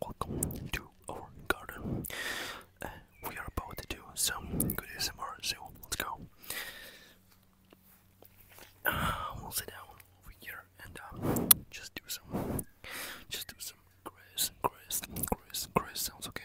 Welcome to our garden. Uh, we are about to do some good ASMR, so let's go. Uh, we'll sit down over here and uh, just do some, just do some grass, grass, grass, grass sounds okay.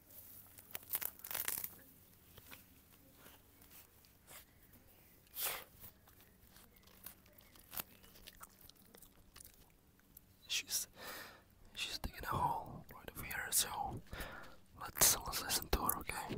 She's she's digging a hole right over here, so let's let's listen to her, okay?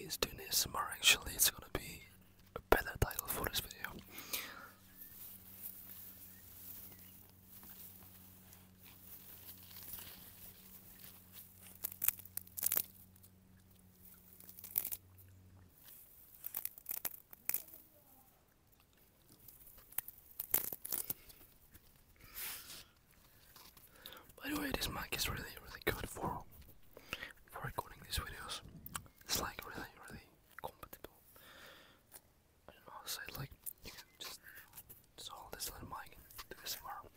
is doing this more. actually, it's gonna be a better title for this video. By the way, this mic is really, really good for for recording these videos. It's like really, really compatible. I don't know how Like you can just just hold this little mic and this more.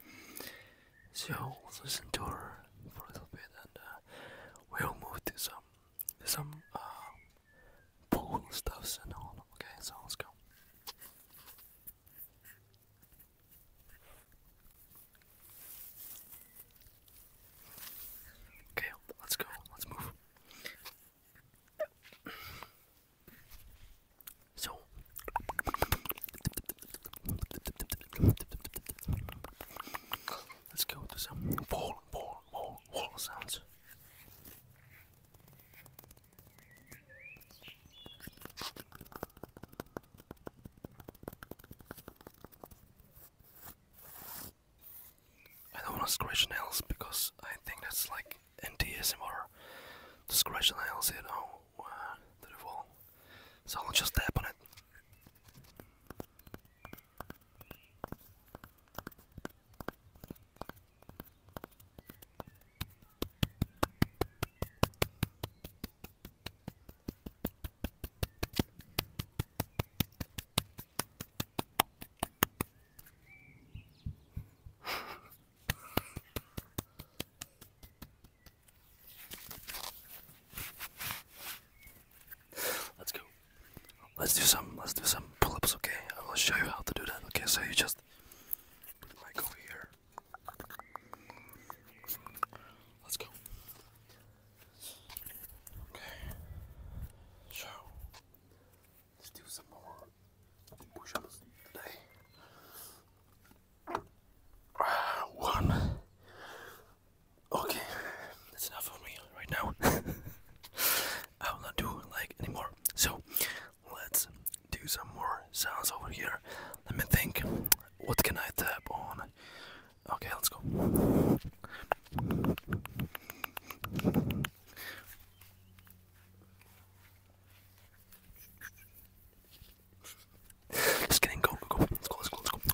So we'll listen to her for a little bit, and uh, we'll move to some some uh, stuffs and all. Okay, so let's go. Okay, let's go. Let's move. So let's go to some ball, ball, ball, wall sounds. I don't want to scratch nails because I think that's like NTSMR to scratch nails, you know, uh, the wall. So I'll just tap on it. Let's go. Let's do some. Let's do some pull-ups. Okay, I will show you how to do that. Okay, so you just like here. Let's go. Okay. So let's do some more push-ups today. Ah, one. Okay, that's enough for me right now. I will not do like anymore. So Let's do some more sounds over here. Let me think. What can I tap on? Okay, let's go. Just kidding, go, go, go. Let's go, let's go, let's go.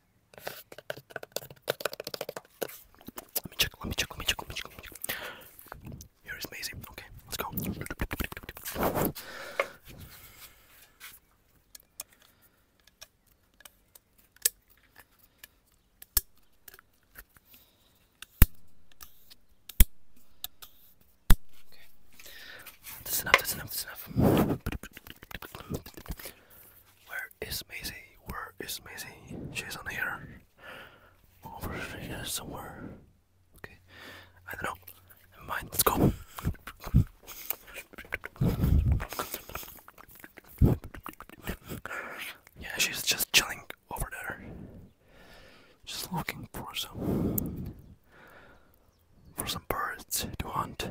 Let me check, let me check, let me check, let me check, let me check. Here is Maisie. Okay, let's go. Okay. That's enough, that's enough, that's enough. Where is Maisie? Where is Maisie? She's on here. Over here somewhere. Okay. I don't know. mind. Let's go. Yeah, she's just chilling over there. Just looking for some for some birds to hunt.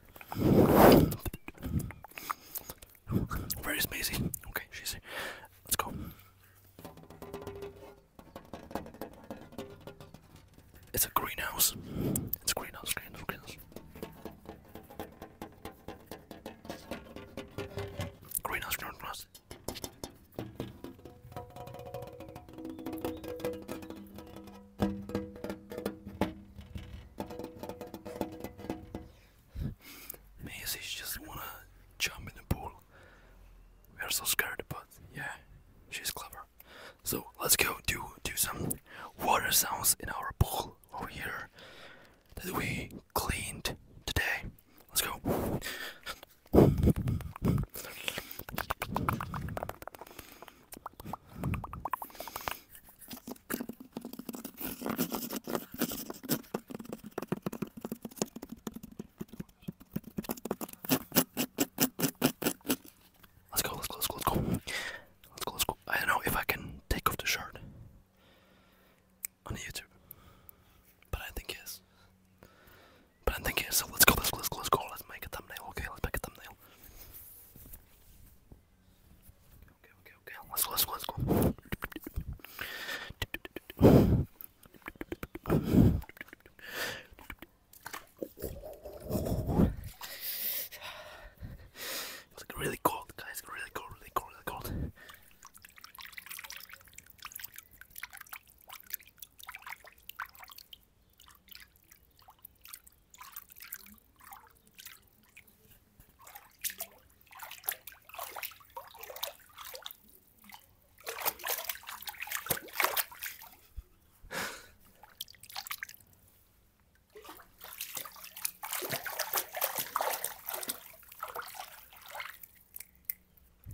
Where is Maisie? Okay, she's here. Let's go. It's a greenhouse. It's a greenhouse, greenhouse, greenhouse. Greenhouse, Maisie's just wanna jump in the pool. We are so scared, but yeah, she's clever. So let's go do do some water sounds in our pool over here that we cleaned today. Let's go. Let's go, let's go, let's go, let's go. Let's go, let's go. I don't know if I can take off the shirt on YouTube. But I think yes. But I think yes, so let's go, let's go, let's go, let's go. Let's make a thumbnail, okay? Let's make a thumbnail well. Okay, okay, okay. Let's go, let's go, let's go. It's like really cold, guys. Really cold, really cold, really cold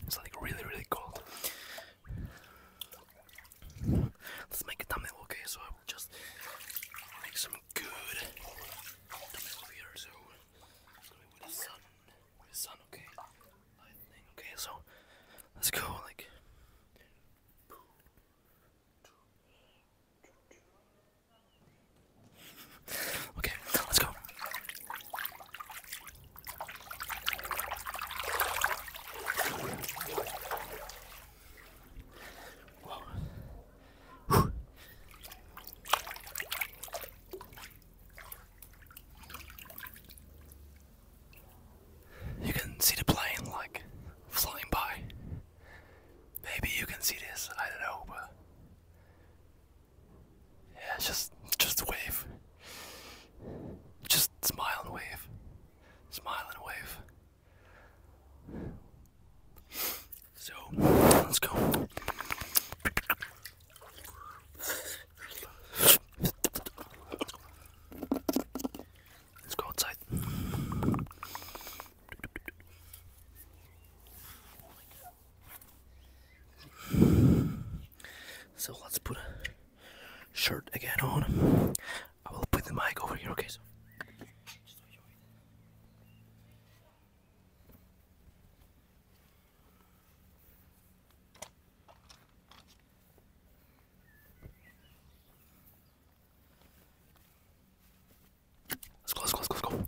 it's like really, really cold. Let's make a thumbnail, okay? So I will just make some good thumbnail here. So with the sun, with the sun, okay? Lightning, okay? So let's go, like. Okay, let's go. You can see the plane like flying by. Maybe you can see this, I don't know, but yeah, just just wave. Just smile and wave. Smile and wave. So, let's go. Let's go outside. So let's put a shirt again on. I will put the mic over here, okay? So. Let's go, let's go, let's go, let's go.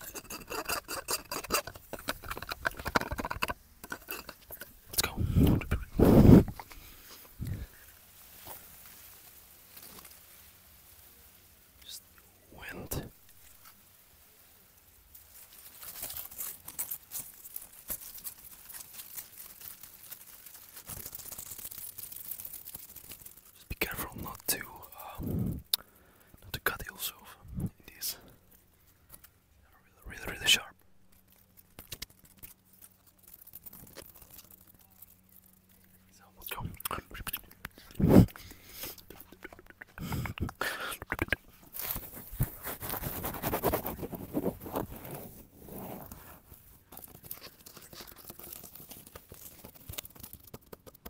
Let's go. Just went. Just be careful not to um, to cut yourself. It is really, really, really sharp. Let's go, let's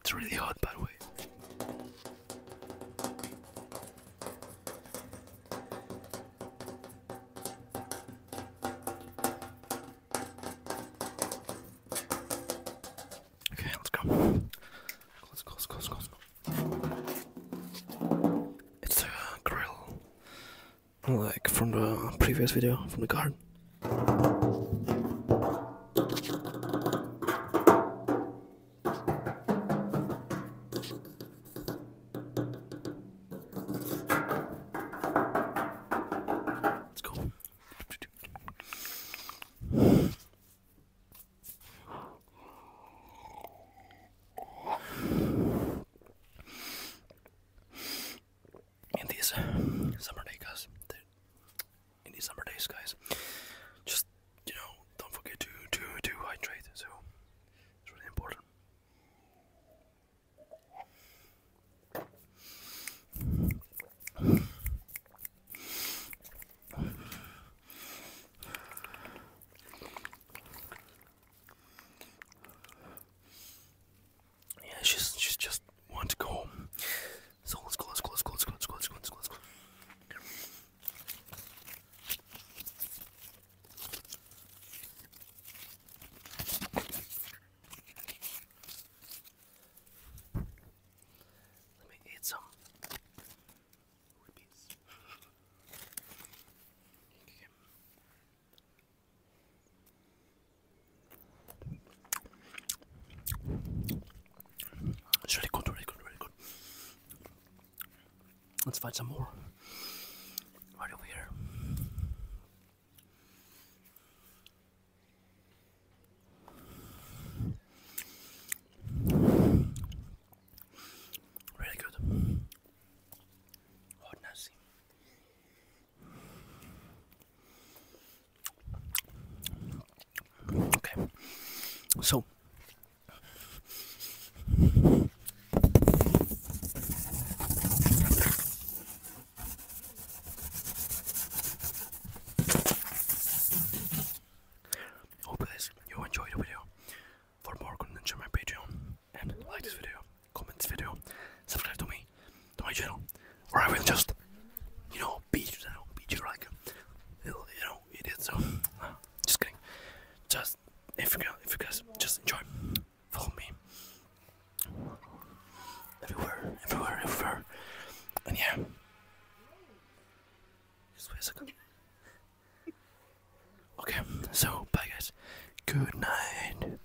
It's really hot, by the way. Okay, let's go. Let's go, let's go, let's go, let's go. It's a grill, like from the previous video, from the garden. Let's go. And these summer day guys, in these summer days, guys. Just you know, don't forget to to to hydrate. So it's really important. Yeah, she's she's just want to go so let's go, let's go, me eat some really good, really good, really good. Let's find some more. Right over here. Really good. Oh, nasty. Okay. So Hope guys you enjoyed the video. For more content, my Patreon and like this video, comment this video, subscribe to me to my channel, or I will just you know beat you down, beat you like you know idiot. So uh, just kidding. Just if you guys, if you guys just enjoy, follow me everywhere, everywhere, everywhere, and yeah. Just wait a second. Okay, so bye guys. Good night.